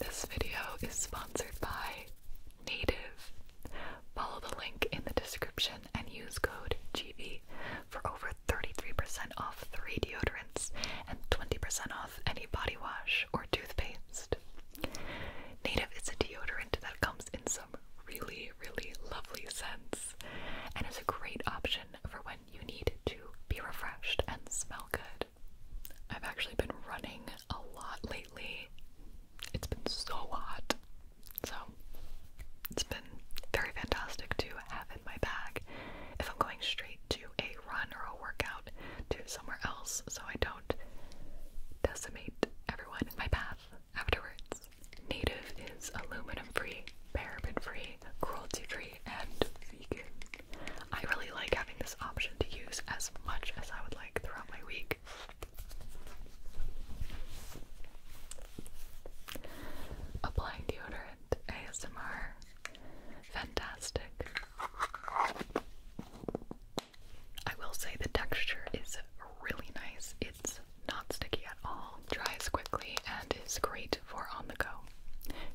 This video is sponsored by Native. Follow the link in the description and use code GV for over 33% off three deodorants and 20% off any body wash or toothpaste. Native is a deodorant that comes in some really, really lovely scents and is a great option for when you need to be refreshed and smell good. I've actually been running a lot lately. It's been so hot. So it's been very fantastic to have in my bag if I'm going straight to a run or a workout to somewhere else so I don't decimate everyone in my path afterwards. Native is aluminum free, paraben free, cruelty free, and vegan. I really like having this option to use as much as I would like throughout my week. Applying deodorant ASMR. Fantastic. I will say the texture is really nice. It's not sticky at all, dries quickly, and is great for on the go.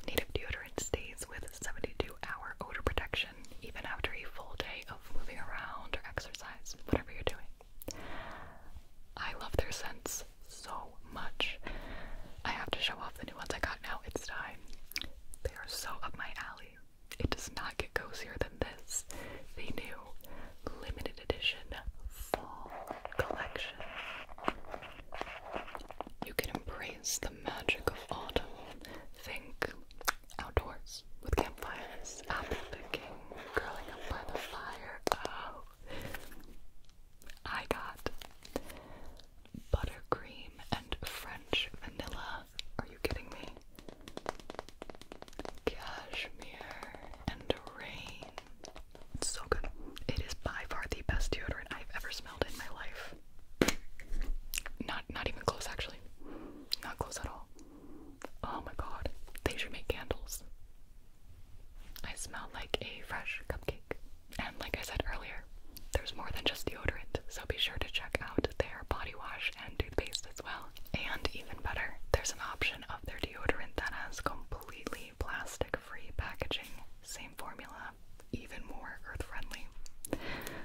Native deodorant stays with 72 hour odor protection even after a full day of moving around or exercise, whatever you're doing. I love their scents so much. I have to show off the new ones I got now. It's time. They are so up my alley. It does not get cozier than this. The new limited edition fall collection. You can embrace it's the magic of autumn. Think outdoors with campfires, apple picking, curling up by the fire. Oh, I got buttercream and French vanilla. Are you kidding me? Cashmere and rain. so good. It is by far the best deodorant I've ever smelled in my life. Not not even close actually. Not close at all. Oh my god. They should make candles. I smell like a fresh cupcake. And like I said earlier, there's more than just deodorant, so be sure to check out their body wash and toothpaste as well. And even better, there's an option of their deodorant that has completely plastic free packaging. Same formula, even more earth friendly.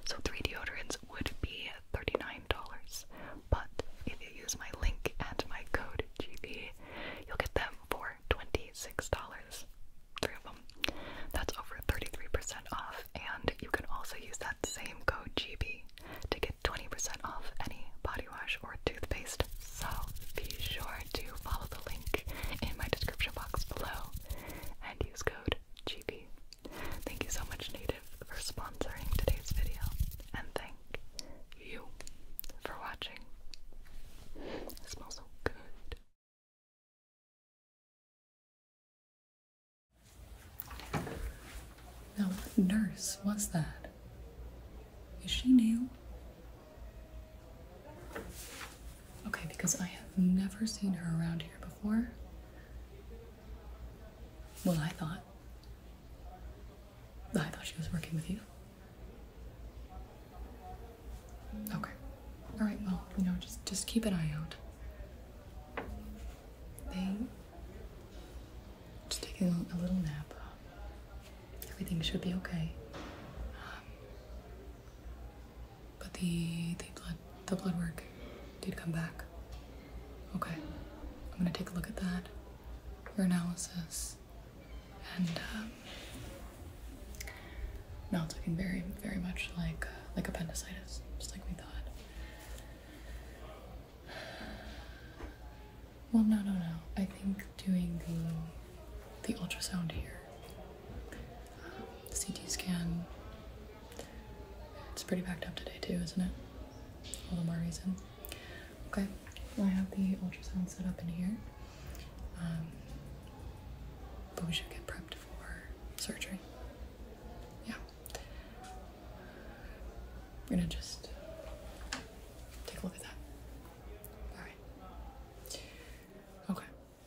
So, three deodorants would be $39, but if you use my link and my code GB, you'll get them for $26. Three of them. That's over 33% off, and you can also use that same code GB to get 20% off any body wash or toothpaste. So, be sure to follow the link in my description box below and use code GB. Thank you so much, Native, for sponsoring today's video, and thank you for watching. smells so good. Now, nurse was that? Is she new? Okay, because I have never seen her around here before. Well, I thought. I thought she was working with you. Okay. All right. Well, you know, just just keep an eye out. They just taking a little nap. Everything should be okay. But the the blood the blood work did come back. Okay, I'm gonna take a look at that, your analysis, and um, now it's looking very very much like uh, like appendicitis, just like we thought. Well, no, no, no. I think doing the the ultrasound here CT scan. It's pretty packed up today too, isn't it? All the more reason. Okay, I have the ultrasound set up in here. Um, we should get prepped for surgery. Yeah. We're gonna just take a look at that. Alright. Okay.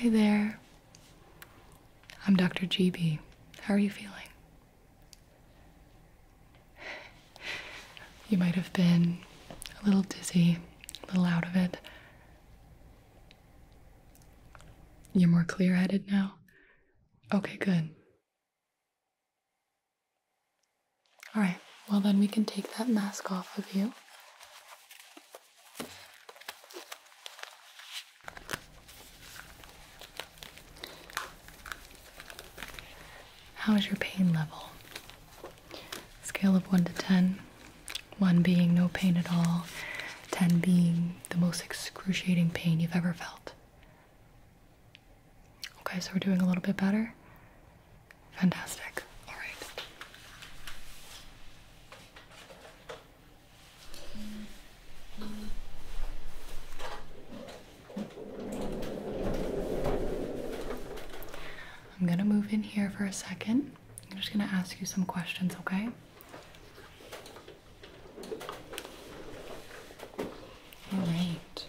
Hi there. I'm Dr. GB. How are you feeling? You might have been a little dizzy, a little out of it. You're more clear headed now? Okay, good. Alright, well, then we can take that mask off of you. How is your pain level? Scale of 1 to 10. 1 being no pain at all, 10 being the most excruciating pain you've ever felt. Okay, so we're doing a little bit better. Fantastic. All right. I'm gonna move in here for a second. I'm just gonna ask you some questions, okay? All right.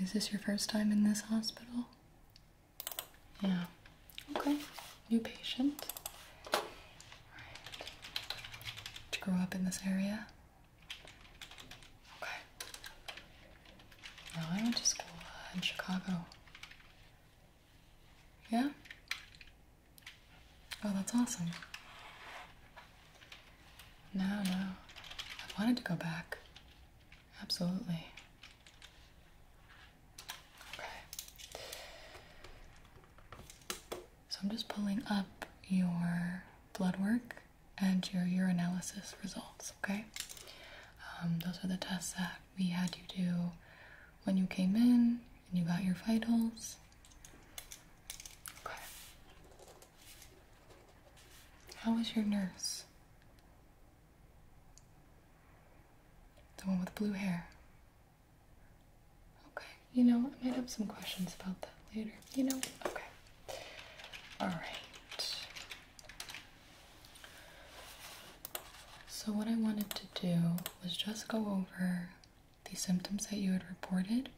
Is this your first time in this hospital? Yeah. Okay. New patient. All right. Did you grow up in this area? Okay. No, I went to school in Chicago. Yeah? Oh, that's awesome. No, no. i wanted to go back. Absolutely. Okay. So I'm just pulling up your blood work and your urinalysis results, okay? Um, those are the tests that we had you do when you came in and you got your vitals. Okay. How was your nurse? The one with blue hair. Okay, you know, I might have some questions about that later. You know? Okay. Alright. So, what I wanted to do was just go over the symptoms that you had reported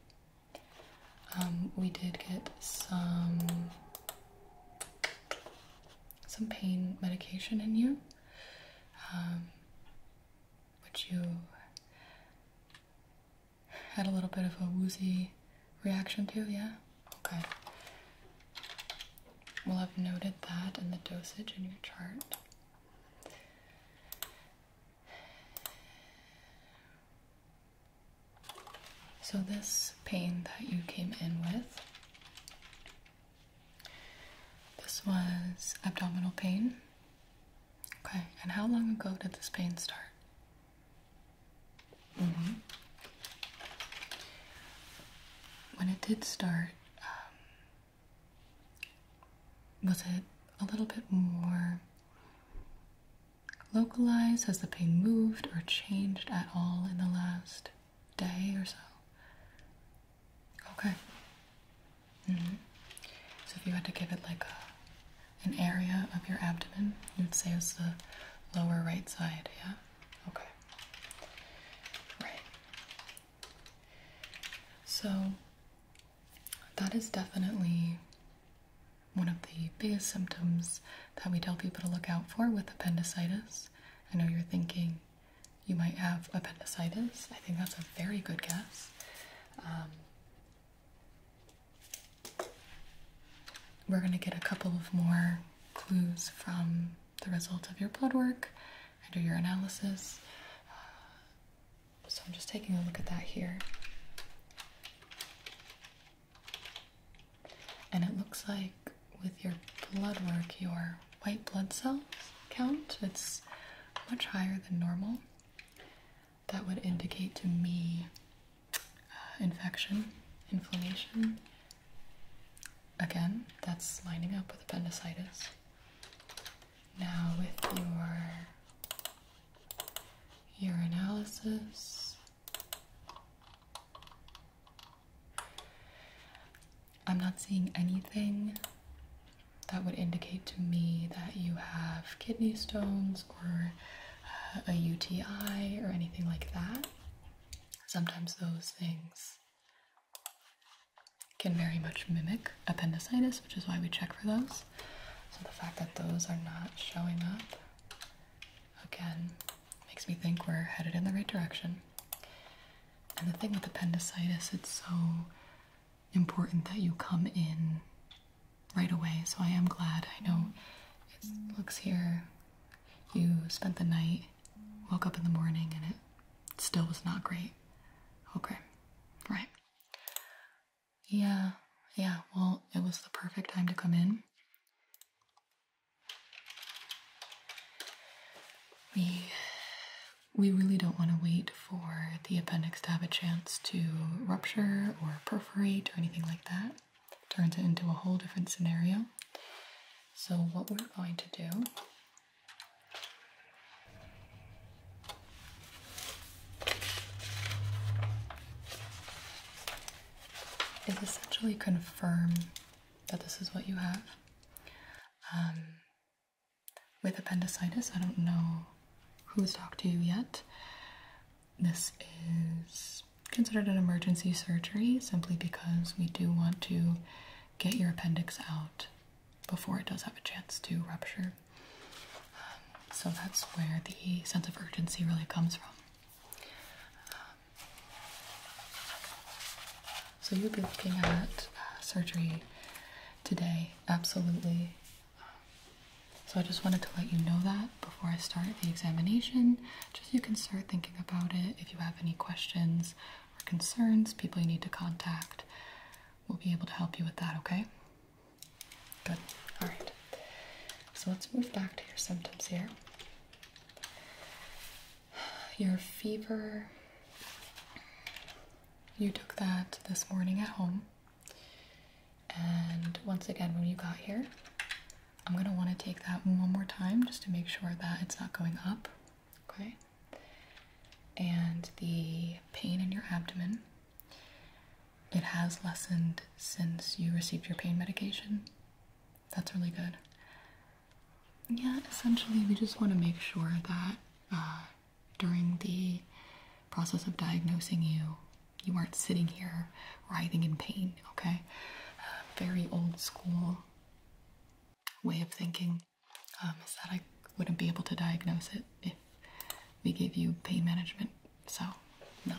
um, we did get some some pain medication in you, um, which you had a little bit of a woozy reaction to, yeah? Okay. Well, I've noted that in the dosage in your chart. So, this pain that you came in with, this was abdominal pain. Okay, and how long ago did this pain start? Mm-hmm. When it did start, um, was it a little bit more Localized? Has the pain moved or changed at all in the last day or so? Okay. Mm-hmm. So if you had to give it like an area of your abdomen, you would say it's the lower right side, yeah? Okay. Right. So that is definitely one of the biggest symptoms that we tell people to look out for with appendicitis. I know you're thinking you might have appendicitis. I think that's a very good guess. Um, we're going to get a couple of more clues from the result of your blood work and your analysis. Uh, so I'm just taking a look at that here. And it looks like with your blood work, your white blood cells count, it's much higher than normal. That would indicate to me uh, infection, inflammation. Again, that's lining up with appendicitis. Now, with your analysis. I'm not seeing anything that would indicate to me that you have kidney stones or uh, a UTI or anything like that. Sometimes those things can very much mimic appendicitis, which is why we check for those. So the fact that those are not showing up Again, makes me think we're headed in the right direction. And the thing with appendicitis, it's so important that you come in right away. So I am glad. I know it looks here. You spent the night, woke up in the morning, and it still was not great. Okay, right. Yeah, yeah, well, it was the perfect time to come in. We we really don't want to wait for the appendix to have a chance to rupture or perforate or anything like that. turns it into a whole different scenario. So what we're going to do is essentially confirm that this is what you have. Um, with appendicitis, I don't know who's talked to you yet. This is considered an emergency surgery simply because we do want to get your appendix out before it does have a chance to rupture um, so that's where the sense of urgency really comes from. Um, so you'll be looking at uh, surgery today, absolutely. Um, so I just wanted to let you know that before I start the examination, just you can start thinking about it. If you have any questions or concerns, people you need to contact, we'll be able to help you with that, okay? Good. All right. So let's move back to your symptoms here. Your fever. You took that this morning at home. And once again, when you got here, I'm going to want to take that one more time just to make sure that it's not going up. Okay? And the pain in your abdomen it has lessened since you received your pain medication. That's really good. Yeah, essentially, we just want to make sure that uh, during the process of diagnosing you, you aren't sitting here writhing in pain, okay? Uh, very old school way of thinking um, is that I wouldn't be able to diagnose it if we gave you pain management so, no,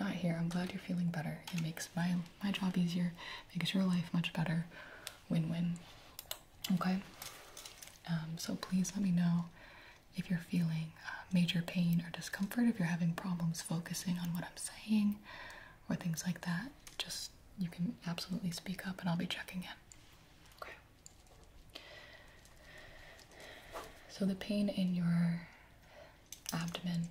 not here. I'm glad you're feeling better. It makes my my job easier, makes your life much better. Win-win. Okay. Um, so please let me know if you're feeling uh, major pain or discomfort. If you're having problems focusing on what I'm saying or things like that, just you can absolutely speak up, and I'll be checking in. Okay. So, the pain in your abdomen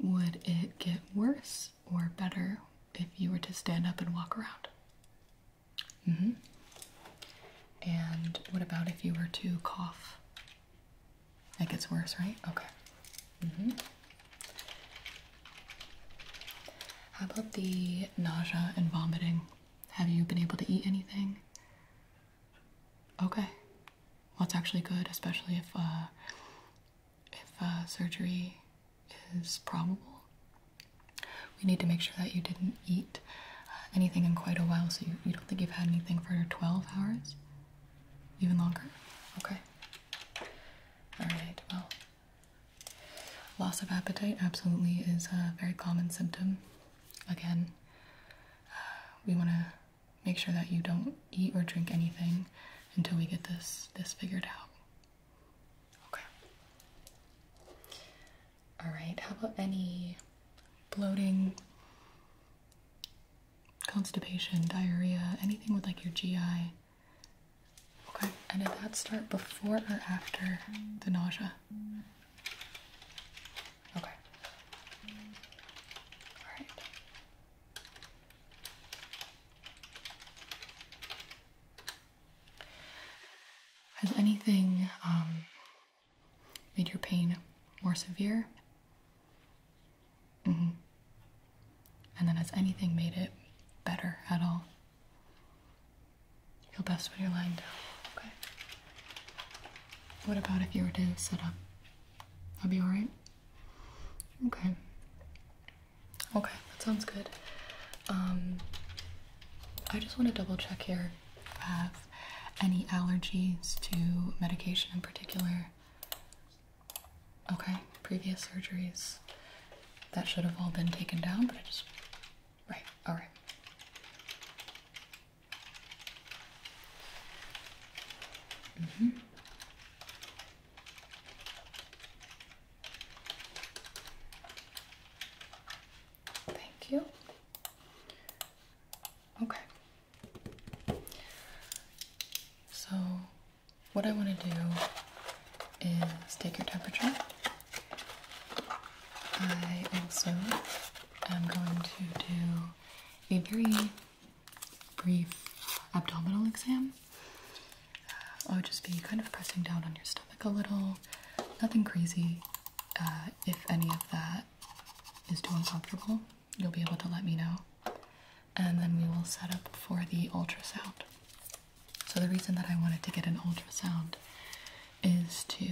would it get worse or better if you were to stand up and walk around? Mm-hmm. And what about if you were to cough? It gets worse, right? Okay. Mm-hmm. How about the nausea and vomiting? Have you been able to eat anything? Okay. Well, it's actually good, especially if uh, if uh, surgery is probable. We need to make sure that you didn't eat uh, anything in quite a while, so you, you don't think you've had anything for 12 hours? Even longer? Okay. Alright, well, loss of appetite absolutely is a very common symptom again, we want to make sure that you don't eat or drink anything until we get this this figured out. Okay. All right. How about any bloating, constipation, diarrhea, anything with like your GI? Okay. And did that start before or after the nausea? Okay. All right. Has anything um, made your pain more severe? -hmm. And then has anything made it better at all? You'll best when you're lying down, okay? What about if you were to sit up? That'd be alright? Okay. Okay, that sounds good. Um, I just want to double check here if have any allergies to medication in particular. Okay, previous surgeries. That should have all been taken down, but I just. Right, alright. Mm -hmm. Thank you. Okay. So, what I want to do is take your temperature. I also am going to do a very brief abdominal exam. Uh, I'll just be kind of pressing down on your stomach a little, nothing crazy. Uh, if any of that is too uncomfortable, you'll be able to let me know. And then we will set up for the ultrasound. So, the reason that I wanted to get an ultrasound is to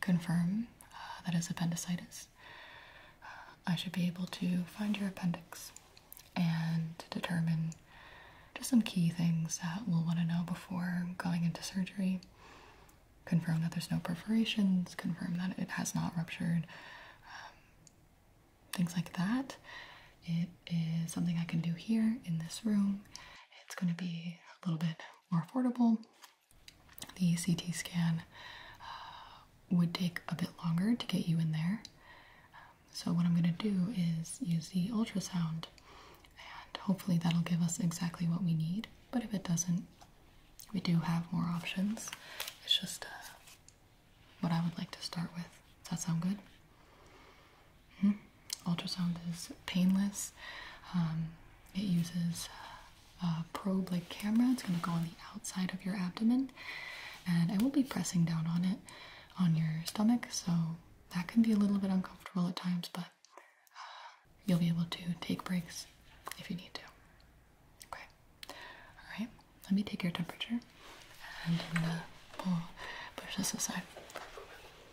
confirm uh, that is appendicitis, uh, I should be able to find your appendix and determine just some key things that we'll want to know before going into surgery. Confirm that there's no perforations, confirm that it has not ruptured, um, things like that. It is something I can do here in this room. It's going to be a little bit more affordable. The CT scan uh, would take a bit longer to get you in there. Um, so, what I'm going to do is use the ultrasound, and hopefully, that'll give us exactly what we need. But if it doesn't, we do have more options. It's just uh, what I would like to start with. Does that sound good? Ultrasound is painless. Um, it uses a probe like camera. It's going to go on the outside of your abdomen, and I will be pressing down on it on your stomach, so that can be a little bit uncomfortable at times, but uh, you'll be able to take breaks if you need to. Okay. All right. Let me take your temperature, and I'm oh, push this aside.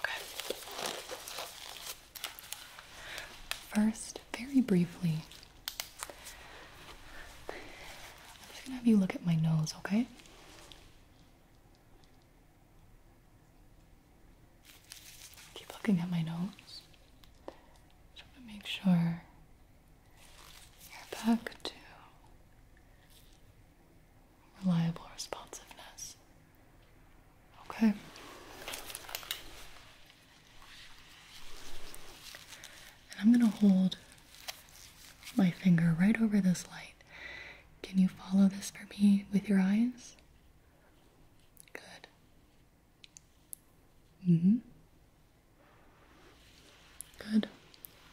Okay. First, very briefly, I'm just gonna have you look at my nose, okay? Keep looking at my nose. Just to make sure you're back to reliable responsiveness. Okay. And I'm going to hold my finger right over this light. Can you follow this for me with your eyes? Good. Mm hmm. Good.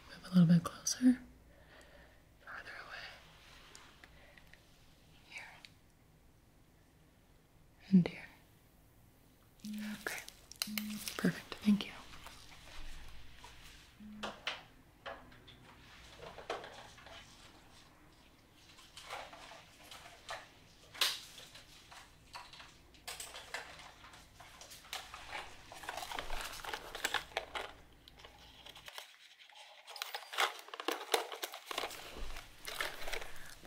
Move a little bit closer. Farther away. Here. And here. Okay. Perfect. Thank you.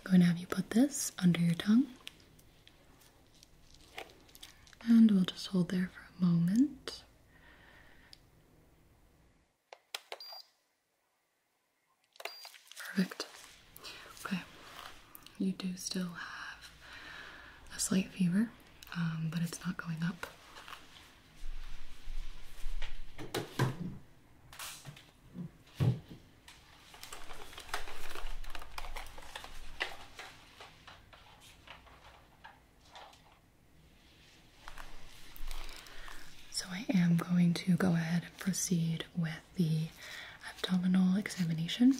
I'm going to have you put this under your tongue. And we'll just hold there for a moment. Perfect. Okay you do still have a slight fever, um, but it's not going up. So, I am going to go ahead and proceed with the abdominal examination. Um,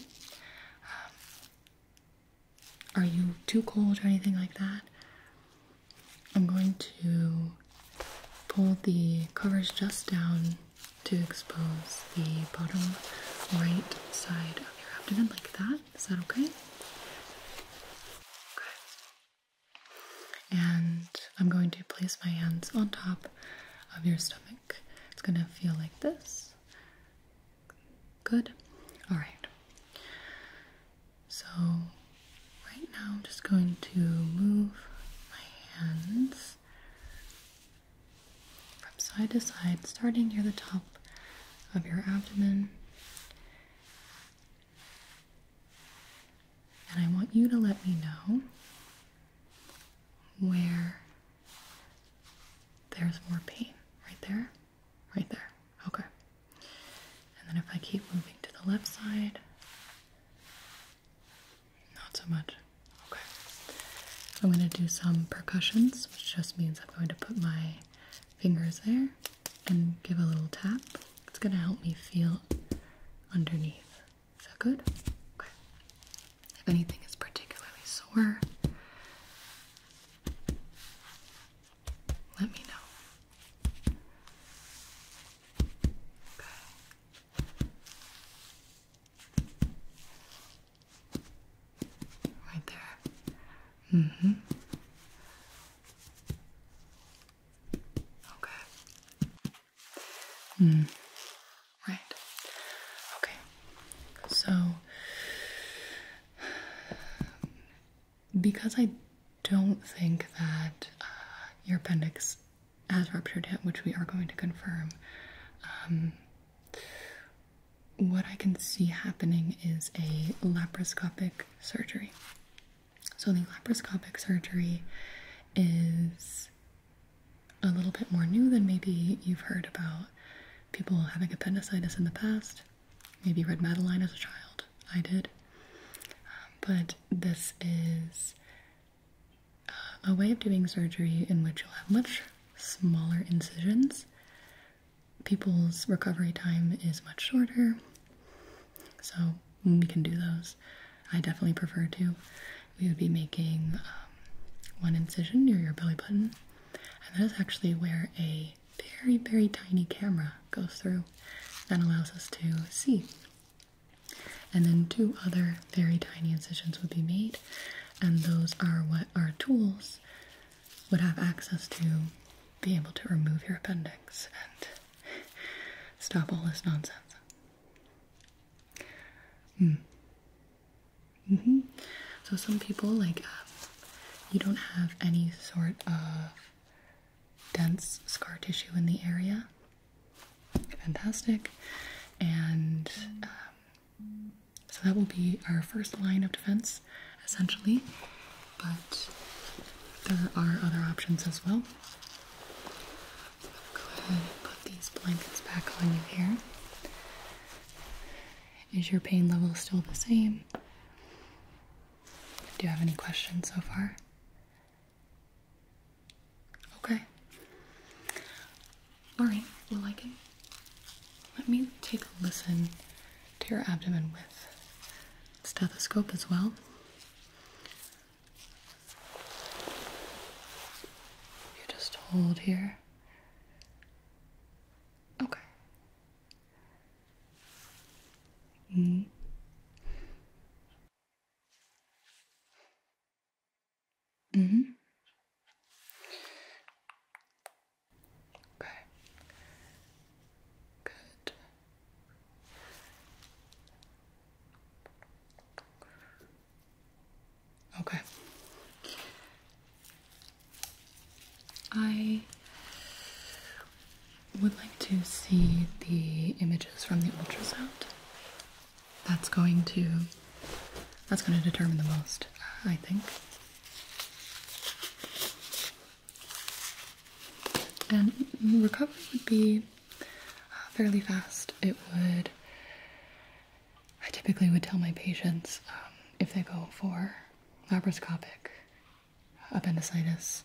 are you too cold or anything like that? I'm going to pull the covers just down to expose the bottom right side of your abdomen, like that. Is that okay? Okay. And I'm going to place my hands on top of your stomach. It's going to feel like this. Good? Alright. So, right now I'm just going to move my hands from side to side, starting near the top of your abdomen. And I want you to let me know where there's more pain. Right there? Right there. Okay. And then if I keep moving to the left side, not so much. Okay. I'm going to do some percussions, which just means I'm going to put my fingers there and give a little tap. It's going to help me feel underneath. Is that good? Okay if anything is particularly sore. Let me know. Right there. hmm Okay. Mm. Right. Okay. So, because I don't think that uh, your appendix has ruptured yet, which we are going to confirm, um, what I can see happening is a laparoscopic surgery. So, the laparoscopic surgery is a little bit more new than maybe you've heard about people having appendicitis in the past. Maybe read Madeline as a child. I did. Um, but this is uh, a way of doing surgery in which you'll have much smaller incisions. People's recovery time is much shorter, so we can do those. I definitely prefer to. We would be making um, one incision near your belly button and that is actually where a very, very tiny camera goes through that allows us to see. And then two other very tiny incisions would be made, and those are what our tools would have access to be able to remove your appendix and stop all this nonsense. Hmm. Mm-hmm. So some people like um, you don't have any sort of dense scar tissue in the area. Fantastic, and um, so that will be our first line of defense, essentially. But there are other options as well. go ahead and put these blankets back on you here. Is your pain level still the same? Do you have any questions so far? Okay. Alright, well, I can. Let me take a listen to your abdomen with stethoscope as well. You just hold here. Okay. Mm. Mm-hmm. Okay. Good. Okay. I would like to see the images from the ultrasound. That's going to that's going to determine the most, I think. And recovery would be uh, fairly fast. It would I typically would tell my patients um, if they go for laparoscopic appendicitis,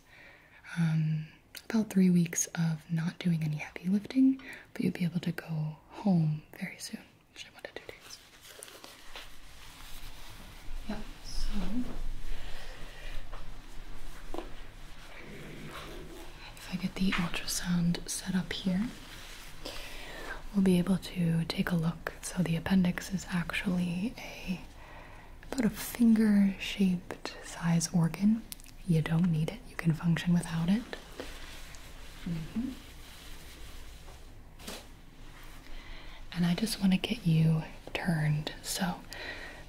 um, about three weeks of not doing any heavy lifting, but you would be able to go home very soon, usually one to two days. so if I get the ultrasound set up here we'll be able to take a look. So the appendix is actually a about a finger-shaped size organ. You don't need it. You can function without it. Mm-hmm. And I just want to get you turned. So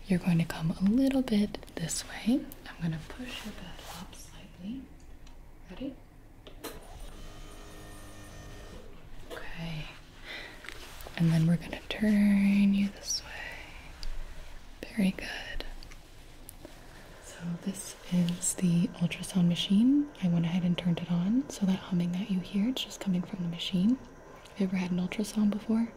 you're going to come a little bit this way. I'm going to push your bed up slightly. Ready? Okay. And then we're going to turn you this way. Very good. So, this is the ultrasound machine. I went ahead and turned it on. So, that humming that you hear, it's just coming from the machine. Have you ever had an ultrasound before?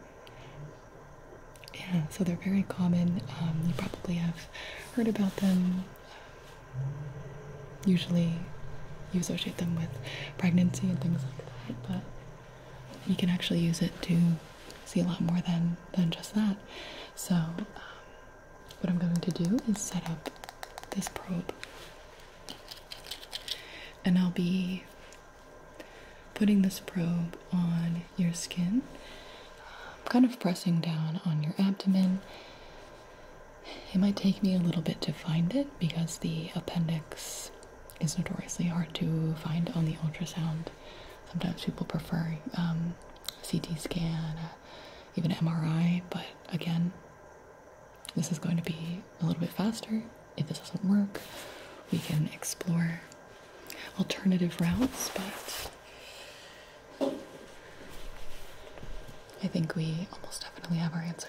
Yeah, so they're very common. Um, you probably have heard about them usually you associate them with pregnancy and things like that, but you can actually use it to see a lot more than, than just that. So, um, what I'm going to do is set up this probe, and I'll be putting this probe on your skin, kind of pressing down on your abdomen it might take me a little bit to find it because the appendix is notoriously hard to find on the ultrasound. Sometimes people prefer um, CT scan, uh, even MRI, but again, this is going to be a little bit faster. If this doesn't work, we can explore alternative routes, but I think we almost definitely have our answer.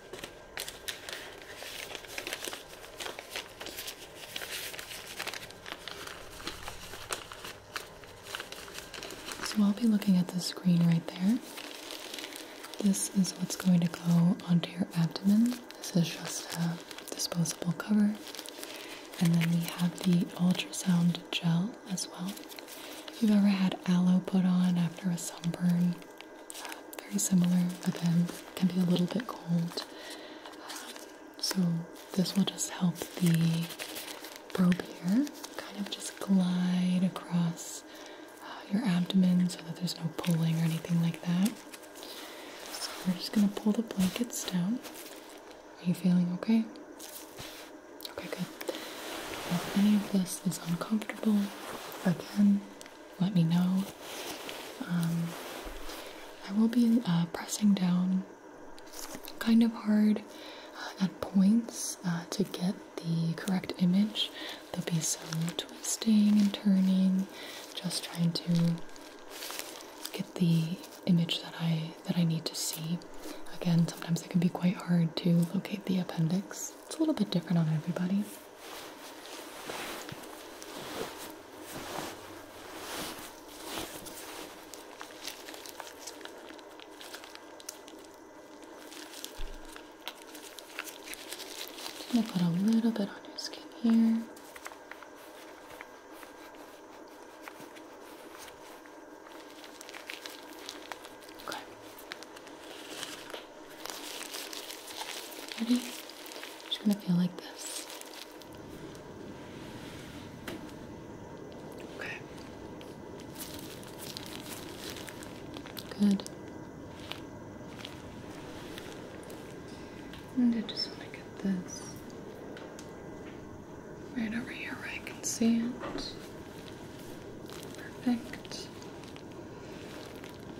So I'll be looking at the screen right there. This is what's going to go onto your abdomen. This is just a disposable cover. And then we have the ultrasound gel as well. If you've ever had aloe put on after a sunburn, very similar, but then can be a little bit cold. so this will just help the probe here kind of just glide across uh, your abdomen so that there's no pulling or anything like that. So we're just gonna pull the blankets down. Are you feeling okay? Okay, good. If any of this is uncomfortable, again, let me know. Um, I will be uh, pressing down kind of hard uh, at points uh, to get the correct image. There'll be some twisting and turning, just trying to get the image that I that I need to see. Again, sometimes it can be quite hard to locate the appendix. It's a little bit different on everybody i put a little bit on your skin here. Okay. Ready? i just gonna feel like this. Okay. Good. And I just want to get this right over here where I can see it. Perfect.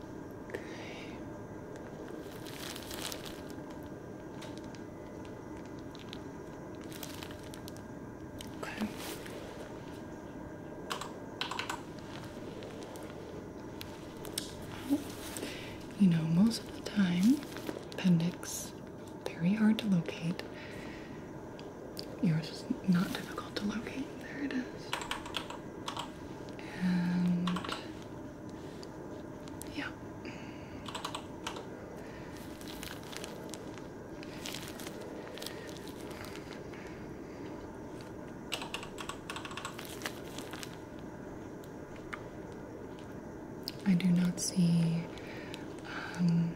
Okay. Okay. you know, most of the time, appendix very hard to locate. Yours is not difficult to locate. There it is. And yeah. I do not see um,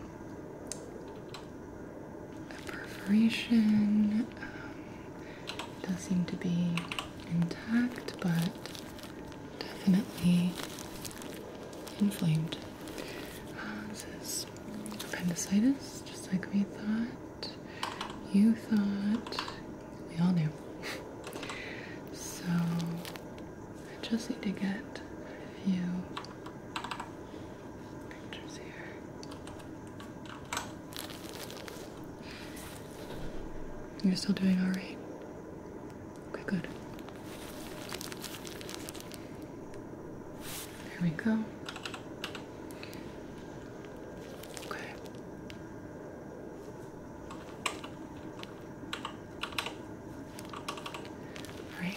a perforation. Um, it does seem to be intact, but definitely inflamed. Uh, this is appendicitis, just like we thought. You thought. We all knew. so I just need to get a few pictures here. You're still doing all right. Okay, good. There we go. Okay. All right.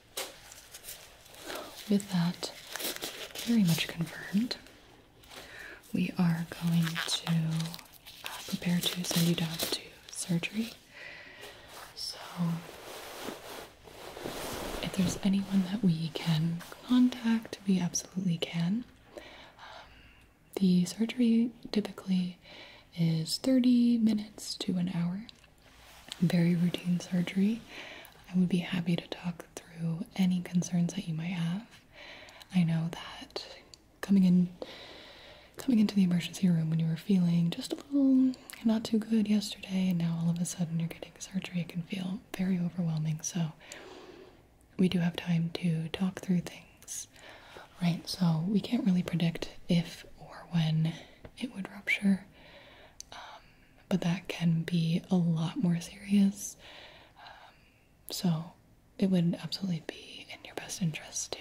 with that very much confirmed, we are going to uh, prepare to send you down to surgery. So, if there's anyone that we can contact, we absolutely can. Um, the surgery typically is 30 minutes to an hour very routine surgery. I would be happy to talk through any concerns that you might have. I know that coming in coming into the emergency room when you were feeling just a little not too good yesterday and now all of a sudden you're getting surgery it can feel very overwhelming. So we do have time to talk through things. Right, so we can't really predict if or when it would rupture. Um, but that can be a lot more serious. Um, so it would absolutely be in your best interest to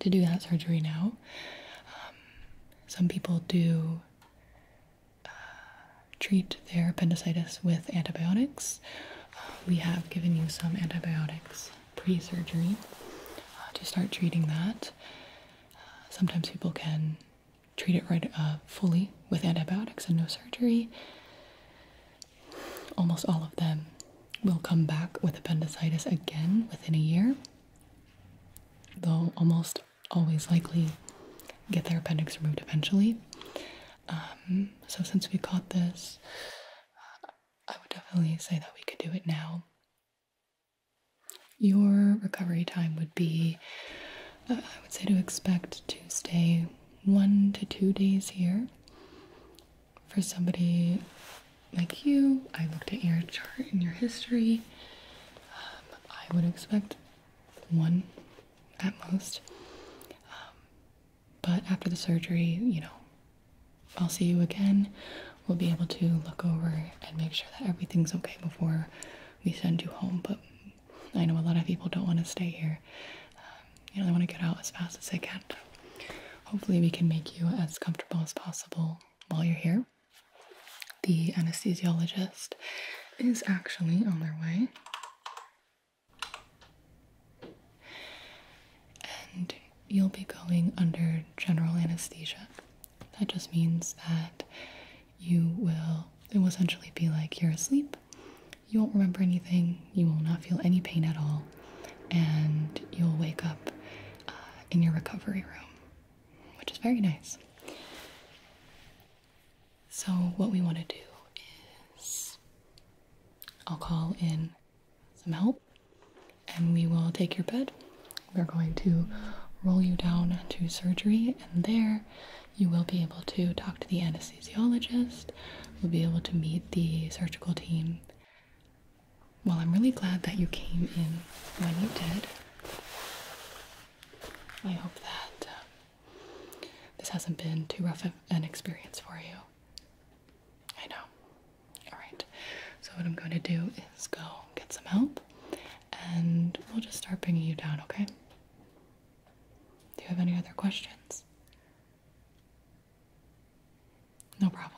to do that surgery now. Um, some people do uh, treat their appendicitis with antibiotics. Uh, we have given you some antibiotics pre-surgery uh, to start treating that sometimes people can treat it right uh, fully with antibiotics and no surgery. Almost all of them will come back with appendicitis again within a year, though almost always likely get their appendix removed eventually. Um, so, since we caught this, I would definitely say that we could do it now your recovery time would be, uh, I would say, to expect to stay one to two days here. For somebody like you, I looked at your chart and your history. Um, I would expect one at most. Um, but after the surgery, you know, I'll see you again. We'll be able to look over and make sure that everything's okay before we send you home. But I know a lot of people don't want to stay here. Um, you know, they want to get out as fast as they can. Hopefully, we can make you as comfortable as possible while you're here. The anesthesiologist is actually on their way. And you'll be going under general anesthesia. That just means that you will, it will essentially be like you're asleep, you won't remember anything, you will not feel any pain at all, and you'll wake up uh, in your recovery room, which is very nice. So, what we want to do is I'll call in some help and we will take your bed. We're going to roll you down to surgery, and there you will be able to talk to the anesthesiologist, we'll be able to meet the surgical team. Well, I'm really glad that you came in when you did. I hope that um, this hasn't been too rough an experience for you. I know. Alright, so what I'm going to do is go get some help and we'll just start bringing you down, okay? Do you have any other questions? No problem.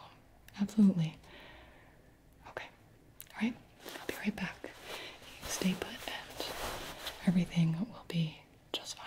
Absolutely. Okay. Alright, I'll be right back. stay put and everything will be just fine.